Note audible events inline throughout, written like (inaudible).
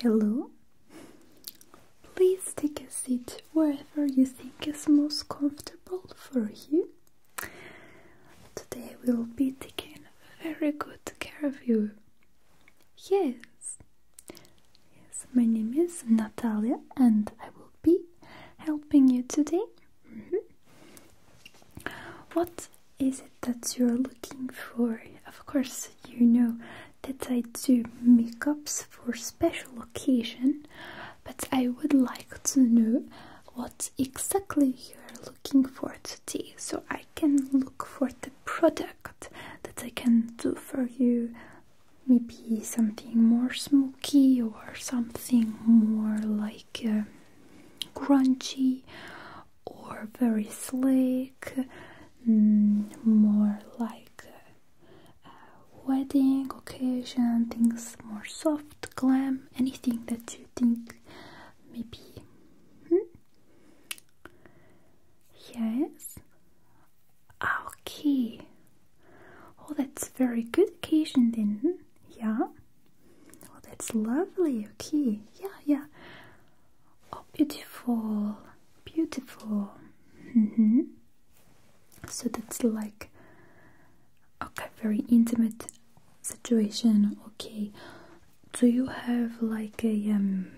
Hello. Please take a seat wherever you think is most comfortable for you. Today we'll be taking very good care of you. Yes. Yes, my name is Natalia and I will be helping you today. Mm-hmm. What is it that you're looking for? Of course, you know that I do makeups for special occasion, but I would like to know what what exactly you're looking for today so I can look for the product that I can do for you. Maybe something more smoky or something more like uh, crunchy or very sleek, mm, more like uh, wedding occasion, things more soft, glam, anything that you think? Maybe. Hmm? Yes. Ah, okay. Oh, that's very good occasion then. Hmm? Yeah. Oh, that's lovely. Okay. Yeah, yeah. Oh, beautiful. Beautiful. Mm -hmm. So that's like Okay, very intimate situation. Okay, do you have like a um,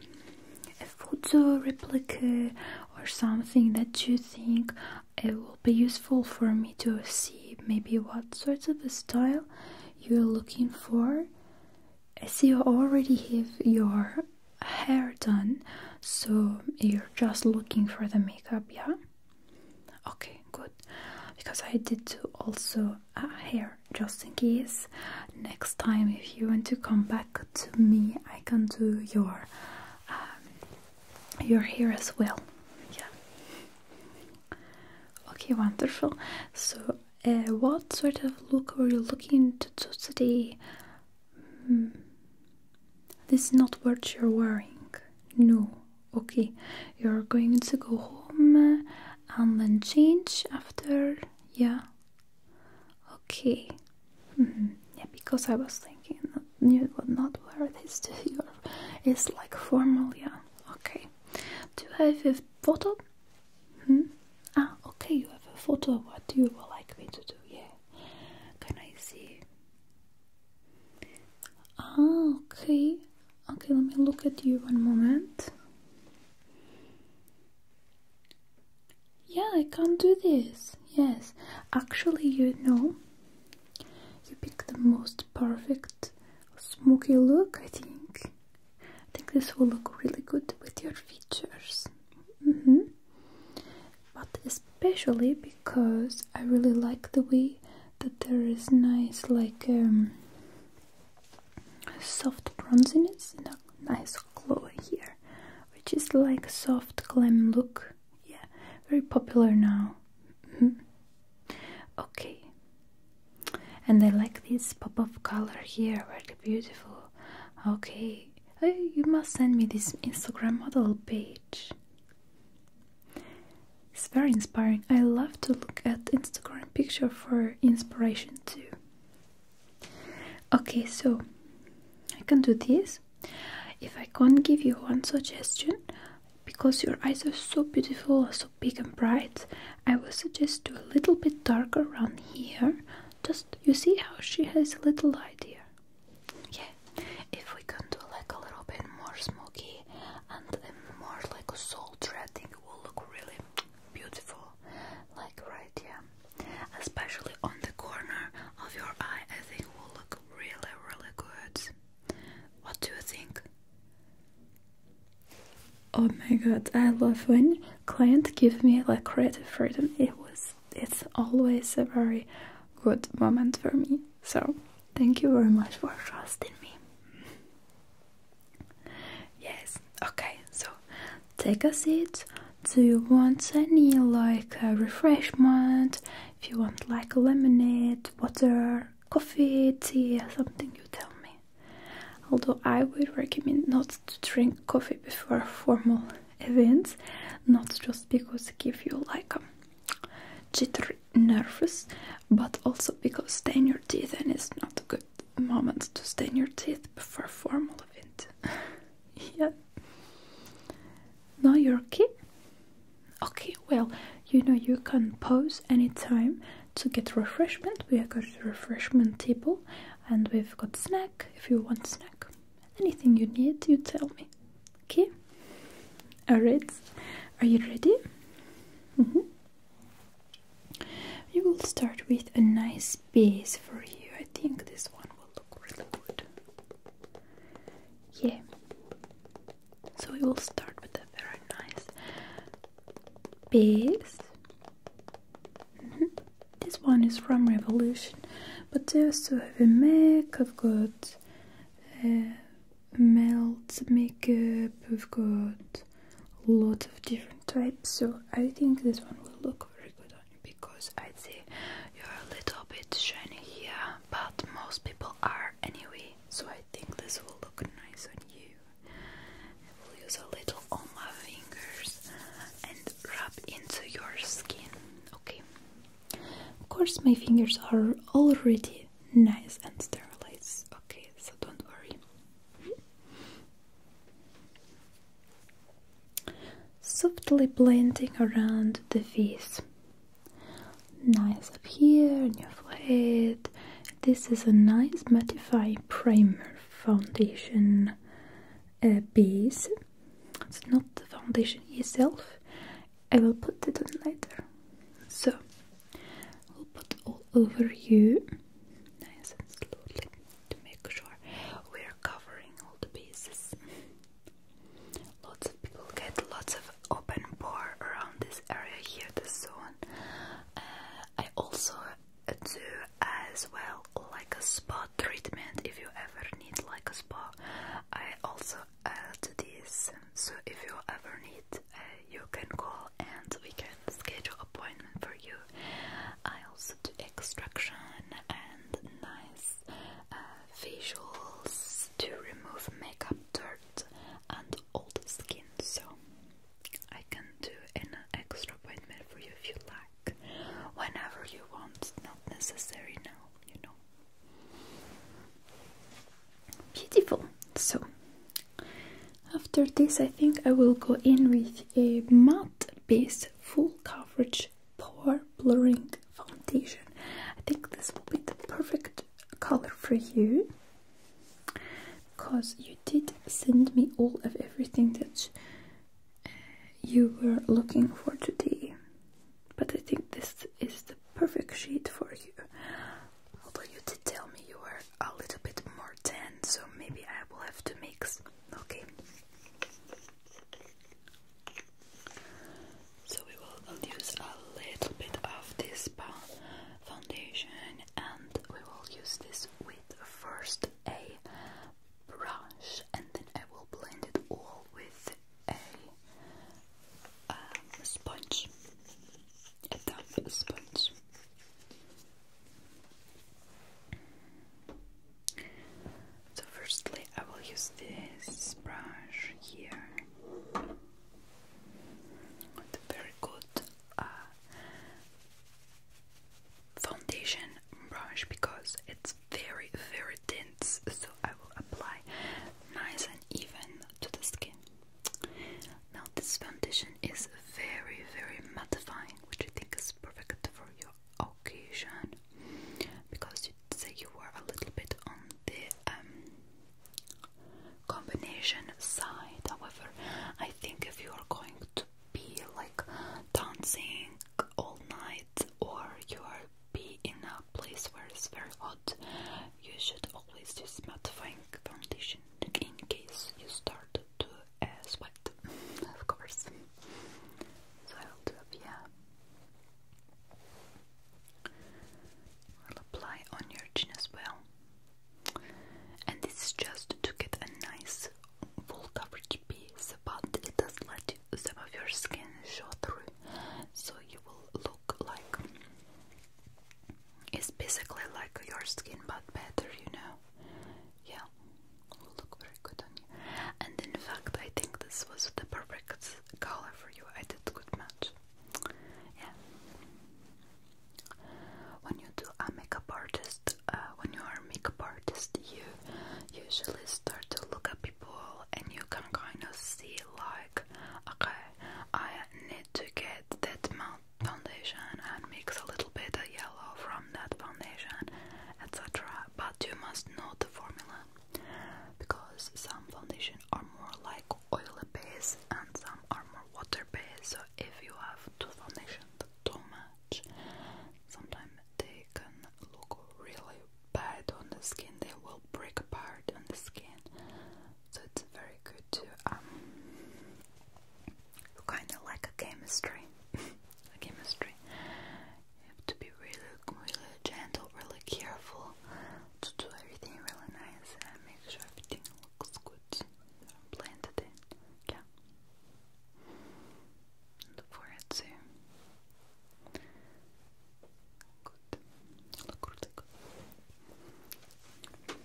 a photo replica or something that you think it will be useful for me to see? Maybe what sort of style you're looking for? I see you already have your hair done, so you're just looking for the makeup, yeah. Okay, good. Because I did do also a hair just in case. Next time, if you want to come back to me, I can do your um, your hair as well. Yeah. Okay, wonderful. So, uh, what sort of look are you looking to do today? Hmm. This is not what you're wearing. No okay you're going to go home and then change after yeah okay mm-hmm. yeah because i was thinking you would not wear this to (laughs) your it's like formal yeah okay do you have a photo hmm? ah okay you have a photo what do you like me to do yeah can i see ah okay Okay, let me look at you one moment. Yeah, I can't do this. Yes, actually, you know, you pick the most perfect smoky look, I think. I think this will look really good with your features. Mm -hmm. But especially because I really like the way that there is nice like um, soft bronziness and a nice glow here which is like soft glam look yeah very popular now mm-hmm. okay and I like this pop of color here very beautiful okay oh, you must send me this Instagram model page it's very inspiring. I love to look at Instagram picture for inspiration too. Okay, so I can do this. If I can give you one suggestion, because your eyes are so beautiful, so big and bright, I will suggest do a little bit darker around here. Just you see how she has a little light here. Yeah, if we can do like a little bit more smoky and more like a soul thread thing will look really beautiful like right here especially on the corner of your eye I think will look really really good what do you think? Oh my god, I love when clients give me like creative freedom. It was it's always a very good moment for me. So, thank you very much for trusting me. Yes, okay, so take a seat. Do you want any like a refreshment? If you want like lemonade, water, coffee, tea, something, you tell me. Although I would recommend not to drink coffee before formal (laughs) events, not just because it gives you like a jitter nervous, but also because stain your teeth and it's not a good moment to stain your teeth before formal event. (laughs) yeah. Now you're Okay, Okay. well, you know you can pause anytime to get refreshment. We have got refreshment table and we've got snack if you want snack. Anything you need, you tell me. Okay? Alright, are you ready? -hmm. We will start with a nice base for you. I think this one will look really good. Yeah. So we will start with a very nice base. Mm-hmm. This one is from Revolution, but they also have a MAC. I've melt makeup, we've got a lot of different types, so I think this one will look very good on you because i see you're a little bit shiny here, but most people are anyway, so I think this will look nice on you. I will use a little on my fingers and rub into your skin, okay? Of course, my fingers are already nice and sterilized. Okay, so don't worry. Softly blending around the face. Nice up here on your forehead. This is a nice mattifying primer foundation uh, base. It's not the foundation itself. I will put it on later. So We'll put all over you, nice and slowly, to make sure we're covering all the pieces. Lots of people get lots of open pore around this area here, the zone. Uh, I also do as well like a spa treatment if you ever need like a spa. I also add this so if you ever need, uh, you can call and we can schedule appointment for you. I also do extraction and nice facials uh, to remove makeup, dirt, and old skin. So I can do an extra appointment for you if you like, whenever you want. Not necessary now, you know. Beautiful. So after this, I think I will go in with a matte based full coverage pore blurring foundation. I think this will be the perfect color for you because you did send me all of everything that uh, you were looking for today. But I think this is the perfect shade for you. Although you did tell me you were a little bit more tan, so maybe I will have to mix. Okay. So we will use a little bit of this foundation and we will use this with first a brush and then I will blend it all with a um, sponge a damp sponge. So, firstly, I will use this brush here. With very good uh, foundation brush because it's very, very dense, so I will apply nice and even to the skin. Now this foundation is very very mattifying, which I think is perfect for your occasion because you say you were a little bit on the um, combination side. However, I think if you are going to be like dancing all night or you are be in a place where it's very hot, you should always use mattifying foundation in case you start to uh, sweat, (laughs) of course. So yeah. I'll apply on your chin as well. And this is just to get a nice full coverage piece, but it does let some of your skin show through, so you will look like it's basically like your skin but better, you know. Yeah, will oh, look very good on you. And in fact, I think this was the perfect color for you. I did good match. Yeah. When you do a makeup artist, uh, when you are a makeup artist, you usually start to look at people, and you can kind of see like, okay, I need to get that amount foundation and mix a little bit of yellow from that foundation, etc. But you must know the formula because some foundation are more like oil base and some are more water based. So if you have two foundations too much, sometimes they can look really bad on the skin. They will break apart on the skin so it's very good to um, kind of like a chemistry, (laughs) a chemistry. to be really, really gentle, really careful to do everything really nice and make sure everything looks good. Blended in, yeah. the forehead too. Good. Look really good. Okay.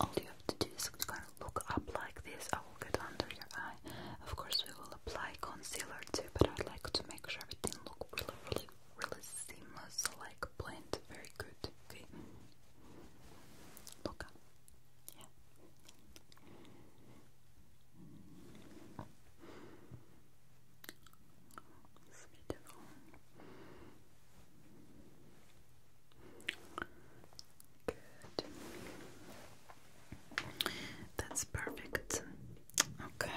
All you have to do is kind of look up like this. I will get under your eye. Of course, we will apply concealer too, but I'd like to make sure everything looks really, really, really seamless, like blend very good. Okay. Look up. Yeah. That's perfect. Okay.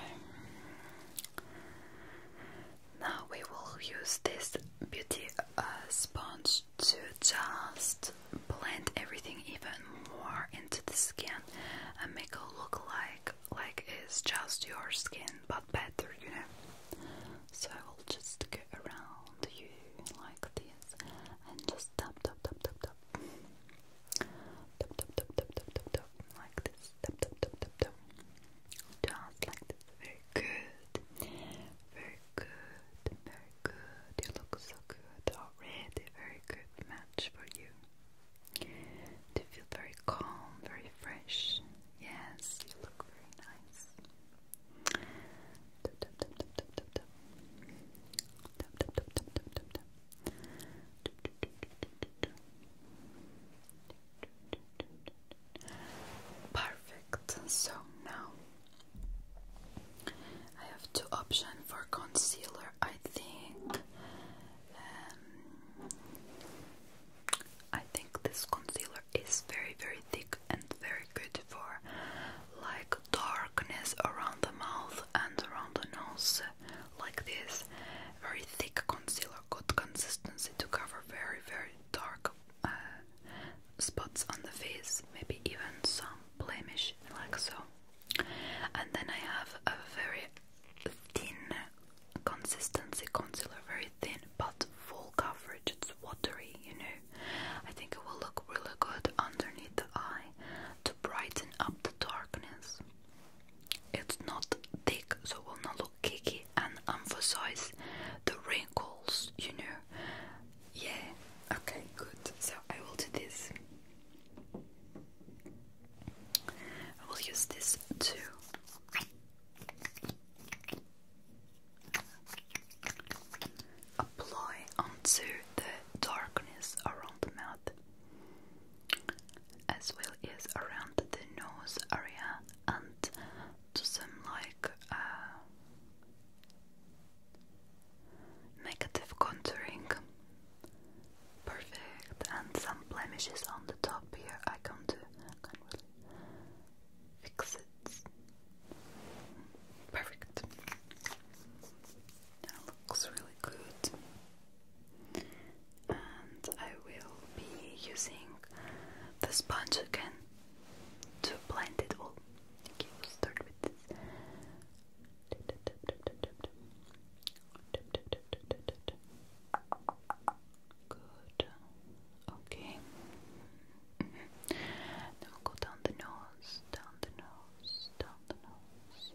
Now we will use this beauty uh, sponge to just blend everything even more into the skin and make it look like like it's just your skin but better, you know. So I will just go around you like this and just tap tap tap tap tap. Tap tap tap tap tap tap tap like this. Tap tap tap tap tap. Just like this. Very good. Very good. Very good. You look so good already. Very good match for you to feel very calm, very fresh. Yes, you look very nice. Perfect. So now I have two options for concealer. I think um, I think this concealer is very, very thick and very good for like darkness around the mouth and around the nose, like this. Very thick concealer, good consistency to cover very, very dark uh, spots on the face, maybe even some blemish, like so. And then I have a very thin consistency concealer, very thin but full coverage. It's watery, you know. I think it will look really good underneath the eye to brighten up the darkness. It's not thick, so it will not look kicky and emphasize the wrinkles, you know. Yeah, okay, good. So I will do this. I will use this to Apply onto the darkness around the mouth, as well as around the nose area, and to some like uh, negative contouring Perfect. And some blemishes on the top here. I come to can't really fix it. Perfect. That looks really good. And I will be using the sponge again to blend it all. Okay, we'll start with this. Good. Okay. Then mm-hmm. we'll go down the nose, down the nose, down the nose,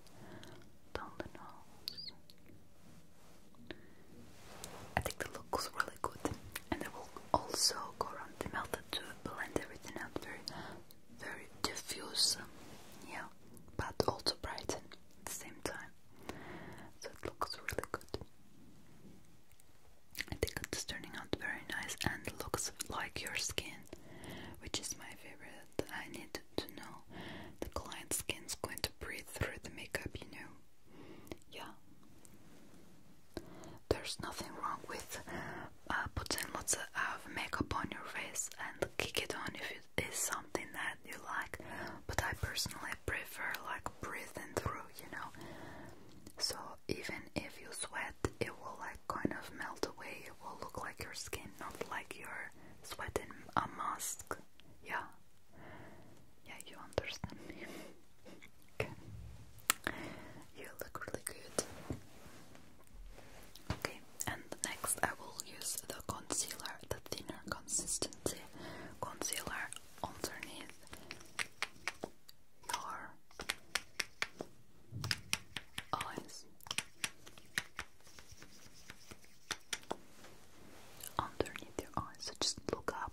down the nose. I think the look was really good, and it will also go around the mouth to blend everything out very, very diffuse, yeah, but also brighten at the same time. So it looks really good. I think it's turning out very nice and looks like your skin, which is my favorite. I need to know the client's skin's going to breathe through the makeup, you know. Yeah. There's nothing wrong with uh, putting lots of makeup on your face and kick it on if it is something that you like, but I personally prefer like breathing through, you know. So even if you sweat, it will like kind of melt away. It will look like your skin, not like you're sweating a mask. Yeah, yeah, you understand me. (laughs) okay. You look really good. Okay. And next I will use the concealer, the thinner consistency concealer underneath your eyes. Underneath your eyes, so just look up.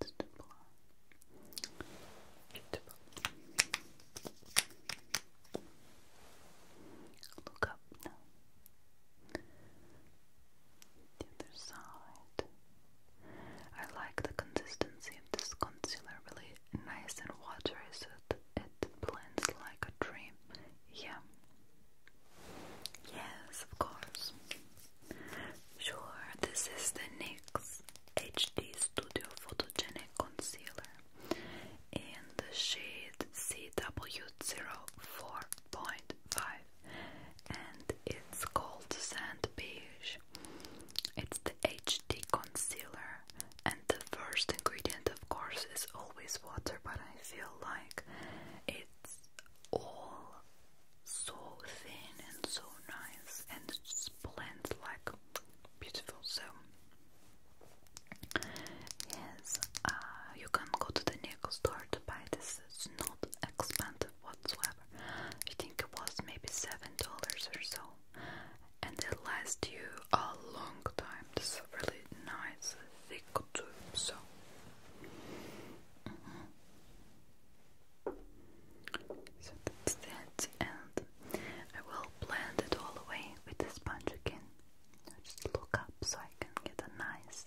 It's double. Look up now. The other side. I like the consistency of this concealer, really nice and watery, so it blends like a dream. Yeah, Yes, of course. Sure, this is the NYX HD Studio Photogenic Concealer in the shade CW04.5 and it's called Sand Beige. It's the HD concealer and the first ingredient of course is always water but I feel like it all so thin and so nice and it just blends like beautiful. So, yes, uh, you can go to the nickel store to buy this, it's not expensive whatsoever. I think it was maybe seven dollars or so, and it lasts you a long time. It's really nice thick too, so mm-hmm. So that's that, and I will blend it all away with the sponge again. Just look up so I can get a nice,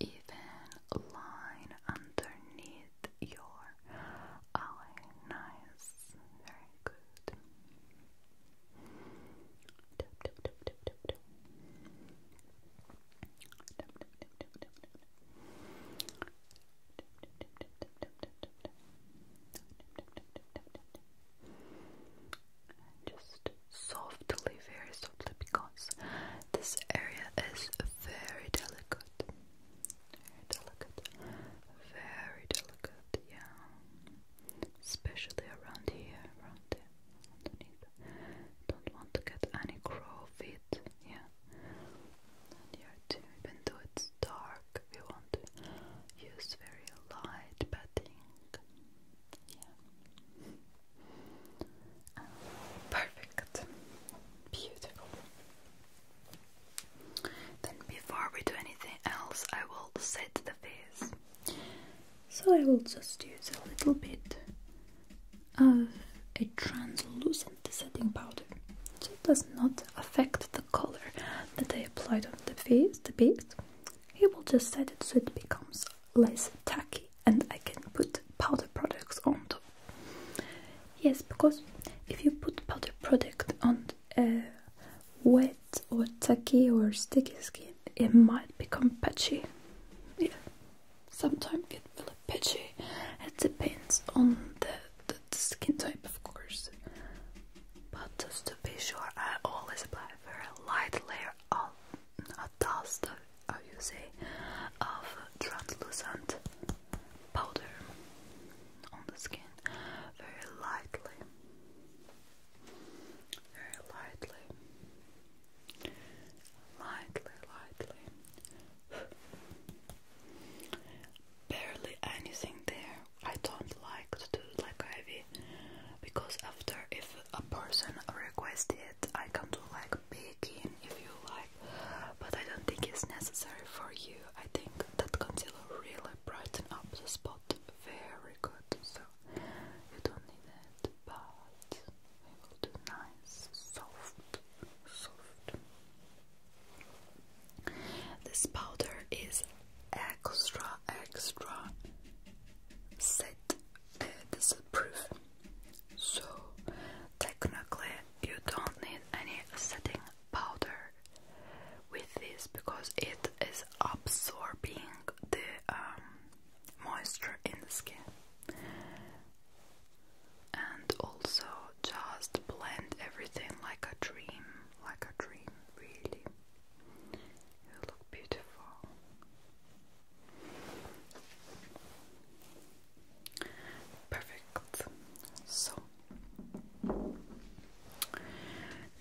even line underneath your eye. Nice, very good. Just softly, very softly, because this area is very delicate. Very delicate. Very delicate, yeah. Especially around here, around there underneath. Don't want to get any crow feet, yeah. here too, even though it's dark, we want to use very light bedding. Yeah. Ah, perfect. Beautiful. Then before we do anything else, I will set the face. So I will just use a little bit of a translucent setting powder. So it does not affect the color that I applied on the face, the base. It will just set it so it becomes less tacky and I can put powder products on top. Yes, because if you put powder product on a wet or tacky or sticky skin, it might become patchy. Yeah, sometimes get really patchy. It depends on the, the, the skin type, of course. But just to be sure, I always apply a very light layer of a dust, how you say, of translucent powder on the skin, very lightly. Very lightly. Lightly, lightly. Barely anything there. I don't like to do like ivy because after if a person requests it, I can do like picking, if you like, but I don't think it's necessary for you. I think that concealer really brighten up the spot very good. So you don't need it, but we will do nice, soft, soft. This powder is extra, extra set uh, disapproof, so technically you don't need any setting powder with this because it is absorbing the um, moisture in the skin. And also just blend everything like a dream, like a dream, really. You look beautiful. Perfect. So,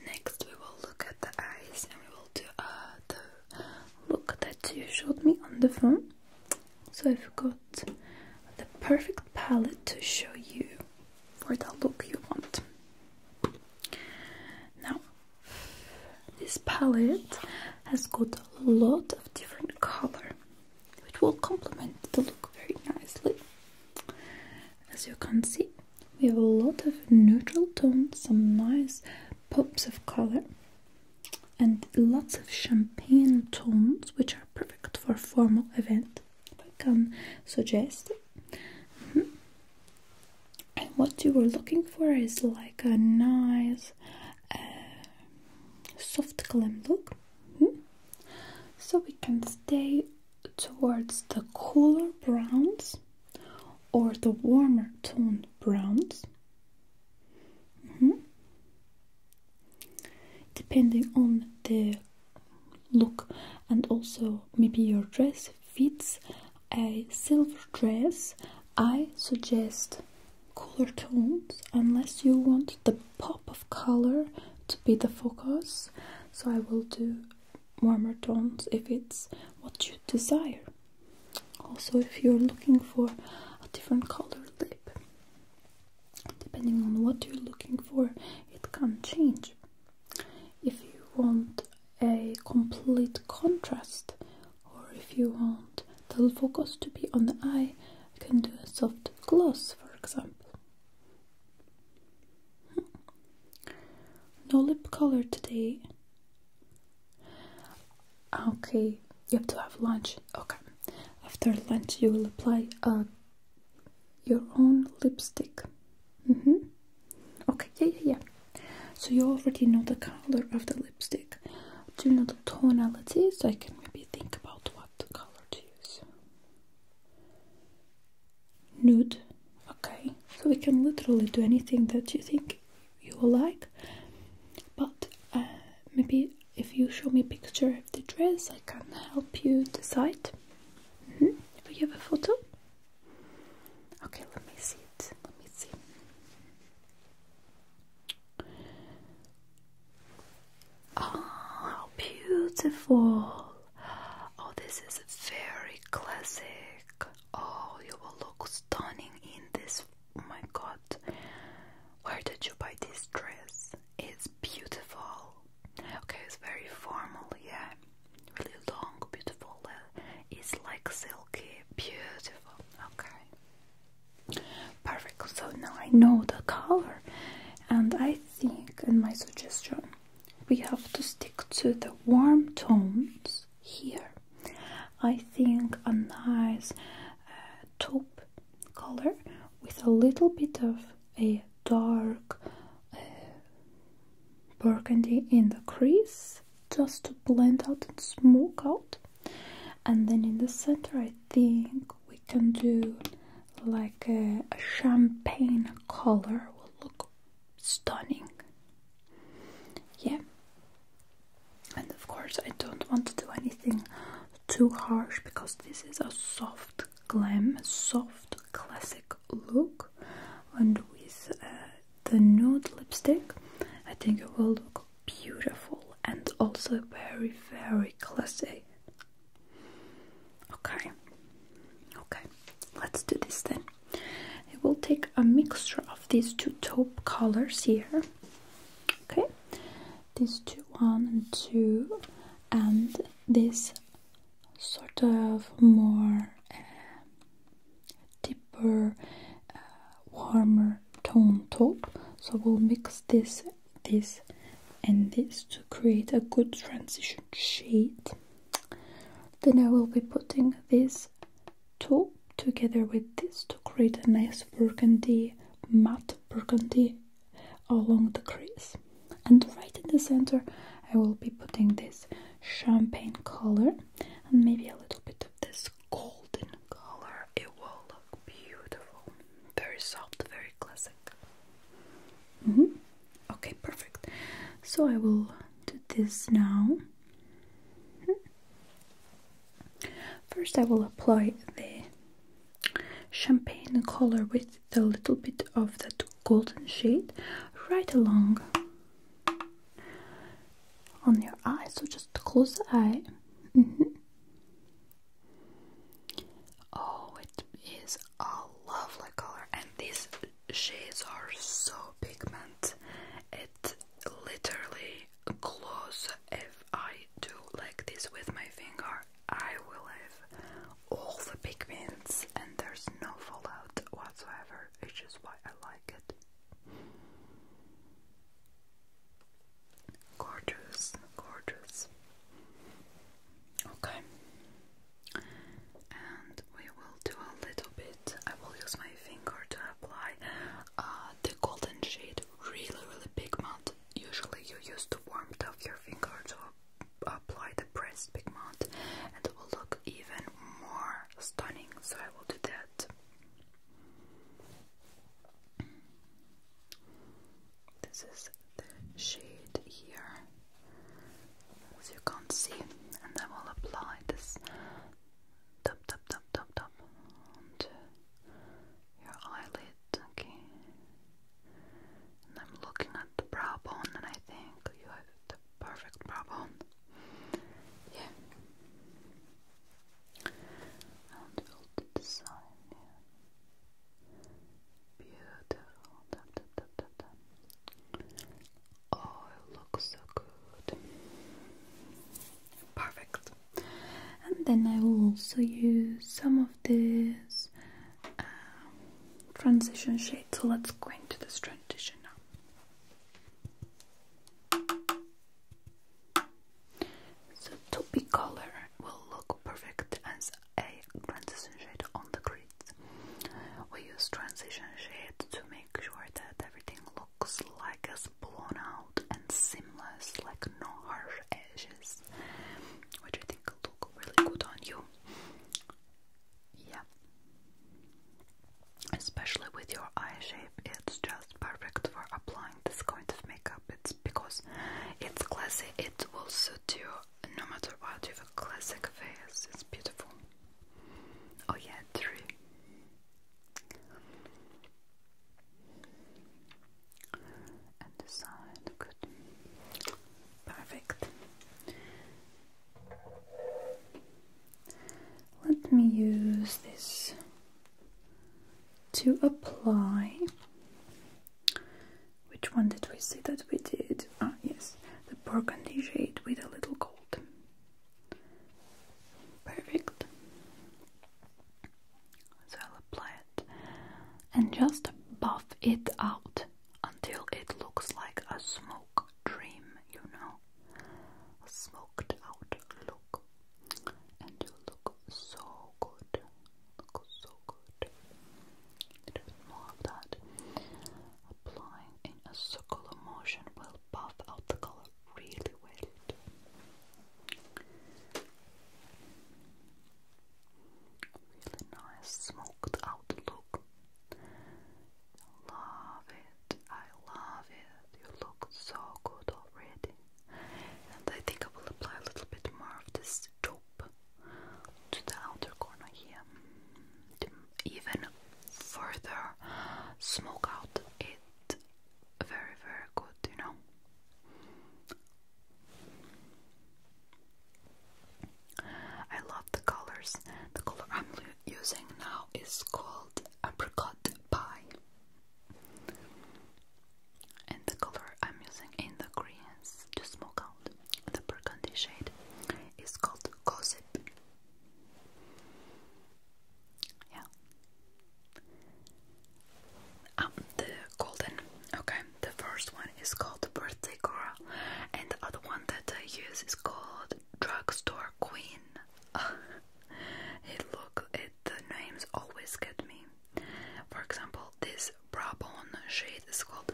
next we will look at the eyes and we will do uh, the look that you showed me on the phone. So I've got the perfect palette to show you for the look you want. Now, this palette has got a lot of different color, which will complement the look very nicely. As you can see, we have a lot of neutral tones, some nice pops of color and lots of champagne tones which are perfect for formal event I can suggest mm-hmm. and what you were looking for is like a nice uh, soft glam look mm-hmm. so we can stay towards the cooler browns or the warmer toned browns. Mm-hmm. Depending on the look and also maybe your dress fits a silver dress, I suggest color tones unless you want the pop of color to be the focus. So I will do warmer tones if it's what you desire. Also, if you're looking for a different color lip, depending on what you're looking for, it can change. If you want a complete contrast, or if you want the focus to be on the eye, you can do a soft gloss, for example. Hmm. No lip color today. Ah, okay, you have to have lunch. Okay, after lunch you will apply uh, your own lipstick. Mm hmm Okay, yeah, yeah, yeah. So you already know the color of the lipstick. Do you know the tonality? So I can maybe think about what color to use. Nude. Okay, so we can literally do anything that you think you will like but uh, maybe if you show me a picture of the dress I can help you decide hmm? do you have a photo? okay let me see it let me see oh beautiful oh this is very classic Oh, you will look stunning in this. Oh my god. Where did you buy this dress? It's beautiful. Okay, it's very formal, yeah. Really long, beautiful. It's like silky, beautiful. Okay. Perfect. So now I know the color, and I think in my suggestion we have to stick to the warm tones here. I think a nice uh, taupe color with a little bit of a dark uh, burgundy in the crease just to blend out and smoke out. And then in the center, I think we can do like a, a champagne color will look stunning. Yeah. And of course, I don't want to do anything too harsh because this is a soft glam, soft classic look. And with uh, the nude lipstick, I think it will look beautiful and also very, very classy. Okay, okay, let's do this then. I will take a mixture of these two top colors here. Okay, these two, one and two, and this sort of more uh, deeper, uh, warmer tone top. So we'll mix this, this, and this to create a good transition shade. Then I will be putting this to together with this to create a nice burgundy, matte burgundy along the crease. And right in the center, I will be putting this champagne color and maybe a little bit of this golden color. It will look beautiful. Very soft, very classic. Mm-hmm. Okay, perfect. So I will do this now. Hmm. First I will apply the champagne color with a little bit of that golden shade right along on your eye so just close the eye mm-hmm. oh it is a lovely color and these shades are so pigment it literally close if I do like this with my finger, I will have all the pigments and there's no fallout whatsoever, which is why I like it. Gorgeous, gorgeous. Okay. And we will do a little bit I will use my finger to apply uh, the golden shade. Really, really pigment. Usually, you use the warmth of your finger to apply the pressed pigment, and it will look even more stunning. So I will do that. This is the shade here, as you can't see, and I will apply this tap tap tap tap tap onto your eyelid, okay? And I'm looking at the brow bone and I think you have the perfect brow bone. Yeah. And we'll do the side, yeah. Beautiful. Tap, tap, tap, tap, tap. Oh, it looks so good. Perfect. And then I will also use some of this uh, transition shade. So let's go into this transition now. So toppy color will look perfect as a transition shade on the grids. We use transition shade to make sure that everything looks like a blown out and seamless, like no harsh edges, which I think look really good on you. Yeah, especially with your eye shape, it's just perfect for applying this kind of makeup. It's because it's classy, it will suit you no matter what. You have a classic face, it's beautiful. Oh, yeah, three and the side, good, perfect. Let me use this to apply. Which one did we see that we did? Ah, yes, the burgundy shade with a little gold. Perfect. So I'll apply it and just buff it out until it looks like a smoke dream, you know. smoked out look. And you look so good. Look so good. A bit more of that. Applying in a circular motion will will buff out the color really well. Really nice smoked out look. Love it. I love it. You look so good already. And I think I will apply a little bit more of this taupe to the outer corner here. Mm, even further smoke out it very, very good, you know. I love the colors. The color I'm using now is called apricot pie. And the color I'm using in the greens to smoke out the burgundy shade is called gossip. Yeah. Um, the golden. Okay, the first one is called Birthday Girl, and the other one that I use is called Drugstore Queen. (laughs) look, it the names always get me. For example, this Brabon shade is called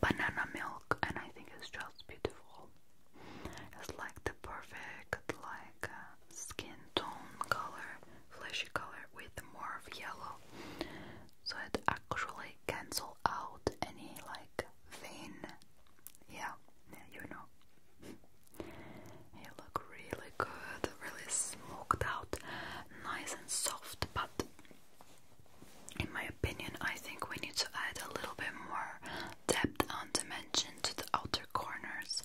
Banana Milk, and I think it's just beautiful. It's like the perfect like uh, skin tone color, fleshy color with more of yellow. So it actually cancels out any like vein. Yeah, you know. it looks really good, really smoked out, nice and soft, but in my opinion, I think we need to add a little bit more depth and dimension to the outer corners.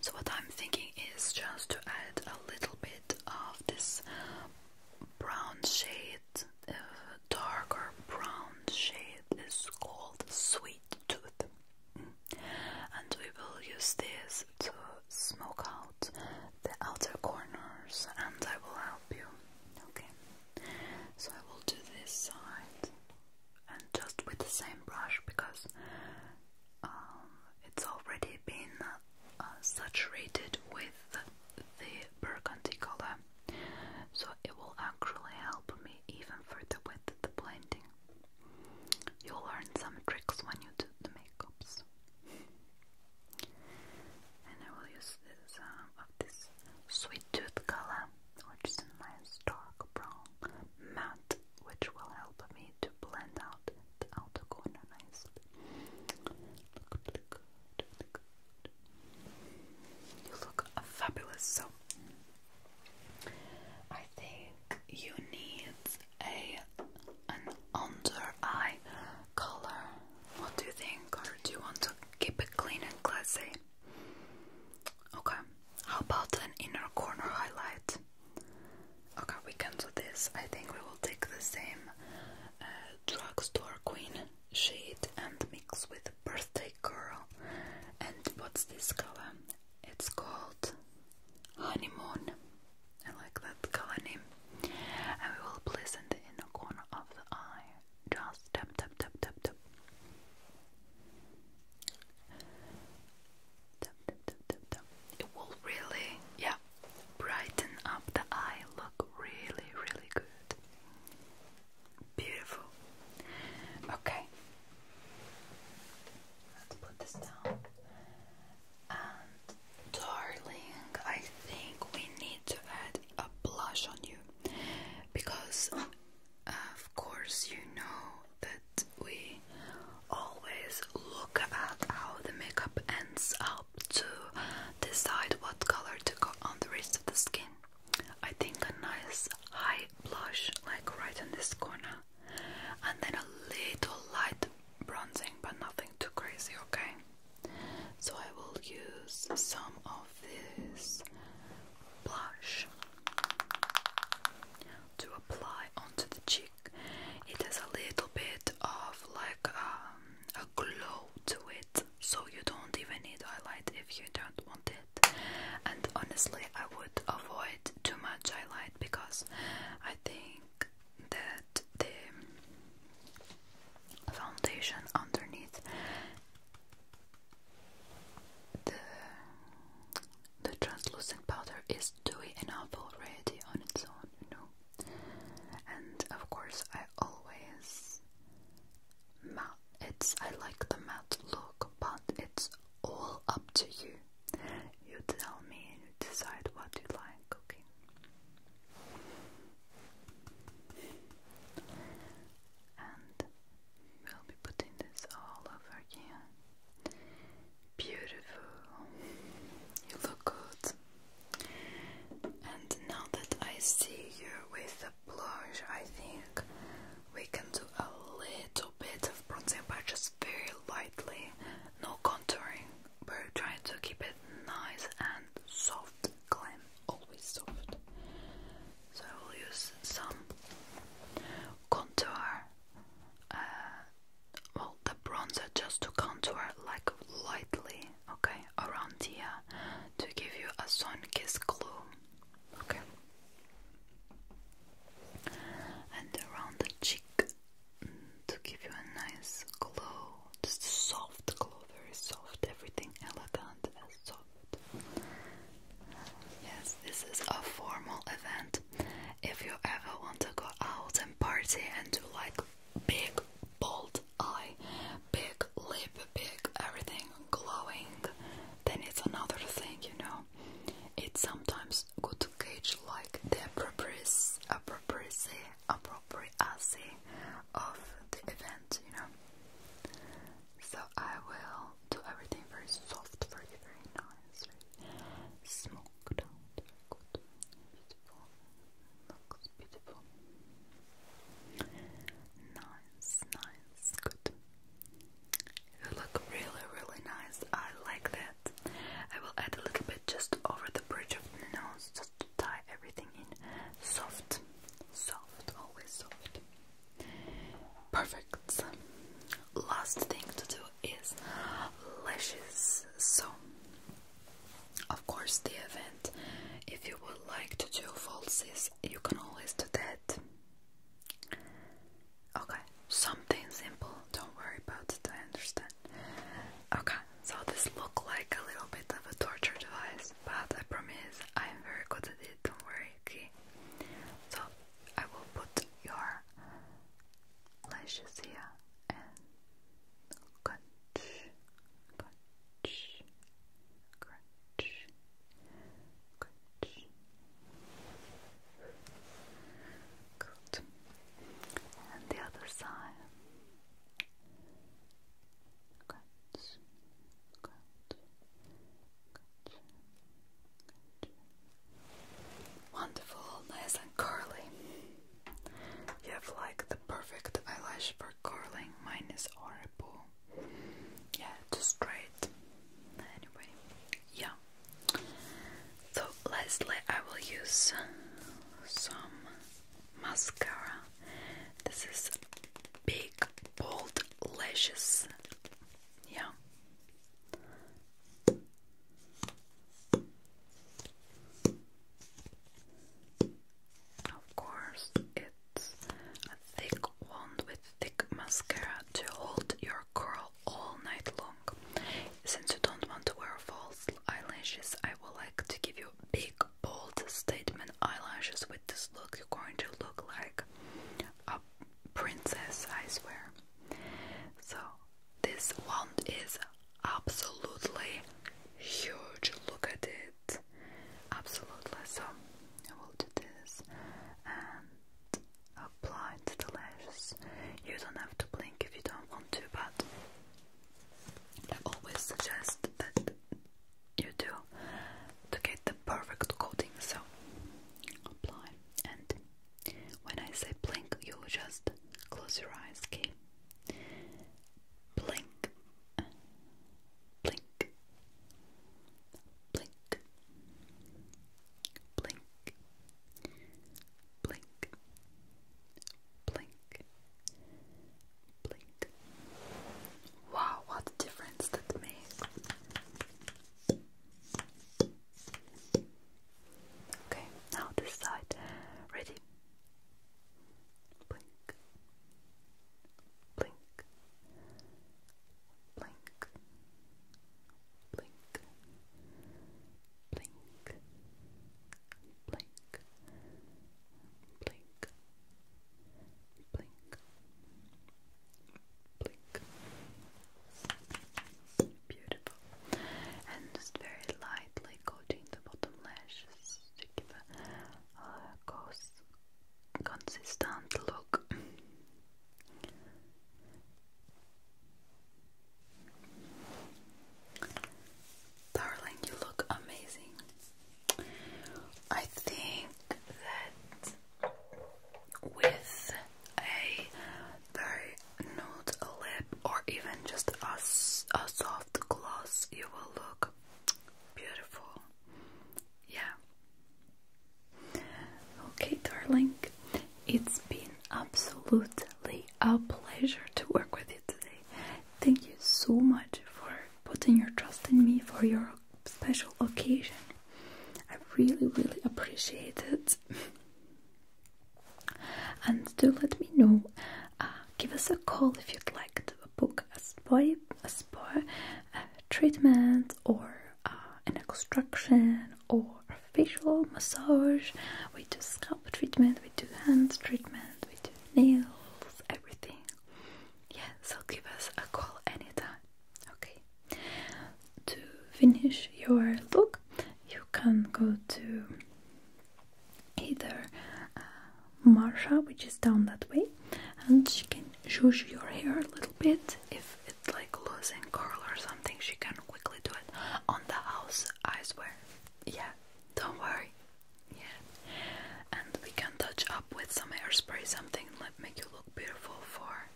So what I'm thinking is just to add a little bit of this brown shade, uh, darker brown shade is called Sweet Tooth. Mm. And we will use this to smoke out the outer corners and I will help you. Okay. So I will do this side and just with the same brush because um, it's already been uh, saturated with the burgundy color, so it will actually help me even further with the blending. You'll learn some tricks when you do the makeups. And I will use this um, of this sweet tooth color which is a nice dark brown matte, which will help me to blend out the outer corner nicely. Look good, really good. You look fabulous. So, I think you need a an under eye color. What do you think? Or do you want to keep it clean and classy? Okay, how about an inner corner highlight? Okay, we can do this. I think we will take the same uh, drugstore queen shade and mix with birthday girl. And what's this color? It's called honeymoon. I like that color name. And we will place in the inner corner of the eye. Just tap, tap, tap, tap, tap. It will really, yeah, brighten up the eye, look really, really good. Beautiful. Okay, let's put this down. And, darling, I think we need to add a blush on you because of course, you know that we always look at how the makeup ends up to decide what color to go on the rest of the skin. I think a nice high blush, like right in this corner, and then a little light bronzing, but nothing too crazy, okay? So I will use some of this blush. To apply onto the cheek, it has a little bit of like um, a glow to it, so you don't even need highlight if you don't want it. And honestly, I would avoid too much highlight because I think that the foundation underneath the, the translucent powder is dewy enough already on its own, you know. And of course, I always matte. It's I like the matte look, but it's all up to you. You tell me, you decide what you like. Okay. And We'll be putting this all over again. Beautiful. You look good. And now that I see you with the blush, I think we can do a little bit of bronzing, but just very lightly. No contouring. We're trying to keep it nice and soft, glam, always soft. So I will use some contour. Uh, well, the bronzer just to contour like lightly, okay, around here to give you a sun kiss glow, okay, and around the cheek mm, to give you a nice glow, just soft glow, very soft, everything elegant and soft. Yes, this is a formal event. If you ever want to go out and party and do like big, bold eye, big lip, big everything glowing, then it's another thing, you know. It's sometimes good to gauge like the appropriacy, appropriacy, appropriacy of the event, you know. So I will do everything very soft for very nice, very smoked good, beautiful, looks beautiful, nice, nice, good. You look really, really nice. I like that. I will add a little bit just over the bridge of the nose, just to tie everything in. Soft, soft, always soft. Perfect. Last thing to do is lashes. So, of course, the event. If you would like to do falsies, you can always do that. Okay, something simple. Don't worry about it. I understand. Okay, so this look like a little bit of a torture device, but I promise I am very good at don't worry, okay? So I will put your lashes here and crunch, crunch, crunch, crunch. Good. And the other side. Wonderful, nice and curly. You have like the perfect eyelash for curling. Mine is horrible. Yeah, just straight. Anyway, yeah. So lastly, I will use some mascara. This is big bold lashes. Yeah, of course, it's a thick wand with thick mascara to hold your curl all night long. Since you don't want to wear false eyelashes, I would like to give you big, bold statement eyelashes with this look. You're going to look like a princess, I swear. So, this wand is absolutely huge. Look at it. Absolutely. So, I will do this and apply it to the lashes. You don't have to blink if you don't want to, but I always suggest that you do to get the perfect coating. So, apply. And when I say blink, you just close your eyes, okay? Blink, blink, blink, blink, blink, blink, blink. Wow, what difference that makes! Okay, now this side. Ready? Blink, blink, blink, blink, blink, blink, blink, blink, Beautiful. And just very lightly coating the bottom lashes to give a consistent look. Darling, you look amazing. I think that with a very nude lip or even just a, a soft gloss, you will look beautiful. Yeah. Okay, darling, it's been absolutely a pleasure to work with you today. Thank you so much for putting your trust in me for your special occasion. I really, really appreciate it. (laughs) and do let me know. Uh, give us a call if you'd like to book a spa, a spa treatment, or uh, an extraction, or a facial massage. We do scalp treatment, we do hand treatment, we do nails, everything. Yeah, so give us a call anytime. Okay, to finish your look, you can go to either uh, Marsha, which is down that way, and she can shush your hair a little bit if it's like losing curl or something. She can quickly do it on the house, I swear. Yeah, don't worry. Yeah, and we can touch up with some hairspray, something that make you look beautiful for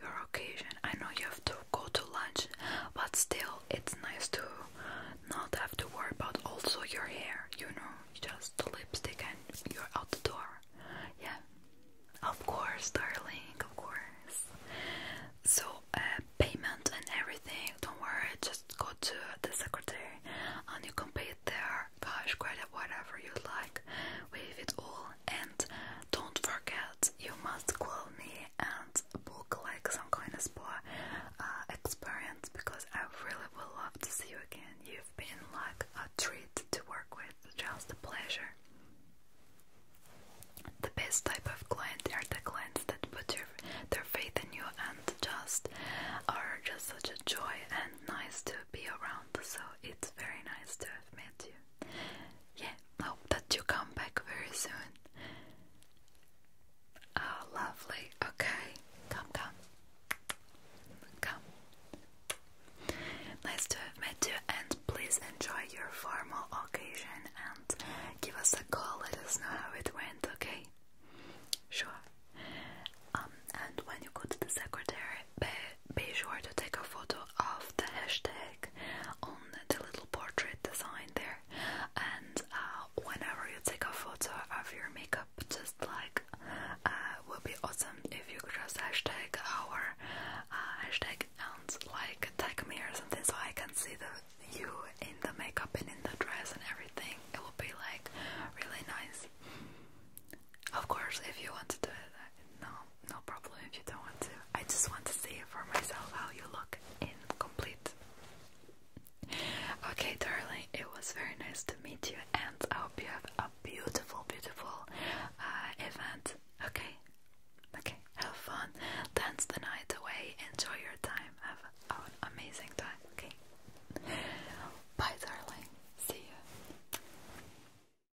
your occasion. I know you have to go to lunch, but still, it's nice to not have to worry about also your hair, you know, just the lipstick and you're out the door. Yeah, of course, darling, of course. So, uh, payment and everything, don't worry, just go to the secretary and you can pay it there. Cash, credit, whatever you like, waive it all, and don't forget, you must call me and book like some kind of spa uh, experience because I really would love to see you again. You've been like a treat to work with, just a pleasure. The best type of clients are the clients that put your, their faith in you and just are just such a joy and nice to be around. So it's very nice to have met you yeah, hope that you come back very soon. Oh, lovely. Okay, come, come, come. Nice to have met you, and please enjoy your formal occasion and give us a call. Let us know how it went. Okay, sure. Um, and when you go to the secretary be sure to take a photo of the hashtag on the little portrait design there. And uh, whenever you take a photo of your makeup, just like uh, would be awesome if you could just hashtag our uh, hashtag and like tag me or something so I can see the you in the makeup and in the dress and everything. It would be like really nice. Of course, if you want to do it, no, no problem if you don't want to. I just want to see for myself how you look in complete. Okay, darling, it was very nice to meet you, and I hope you have a beautiful, beautiful uh, event. Okay, okay, have fun, dance the night away, enjoy your time, have an amazing time. Okay, bye, darling. See you.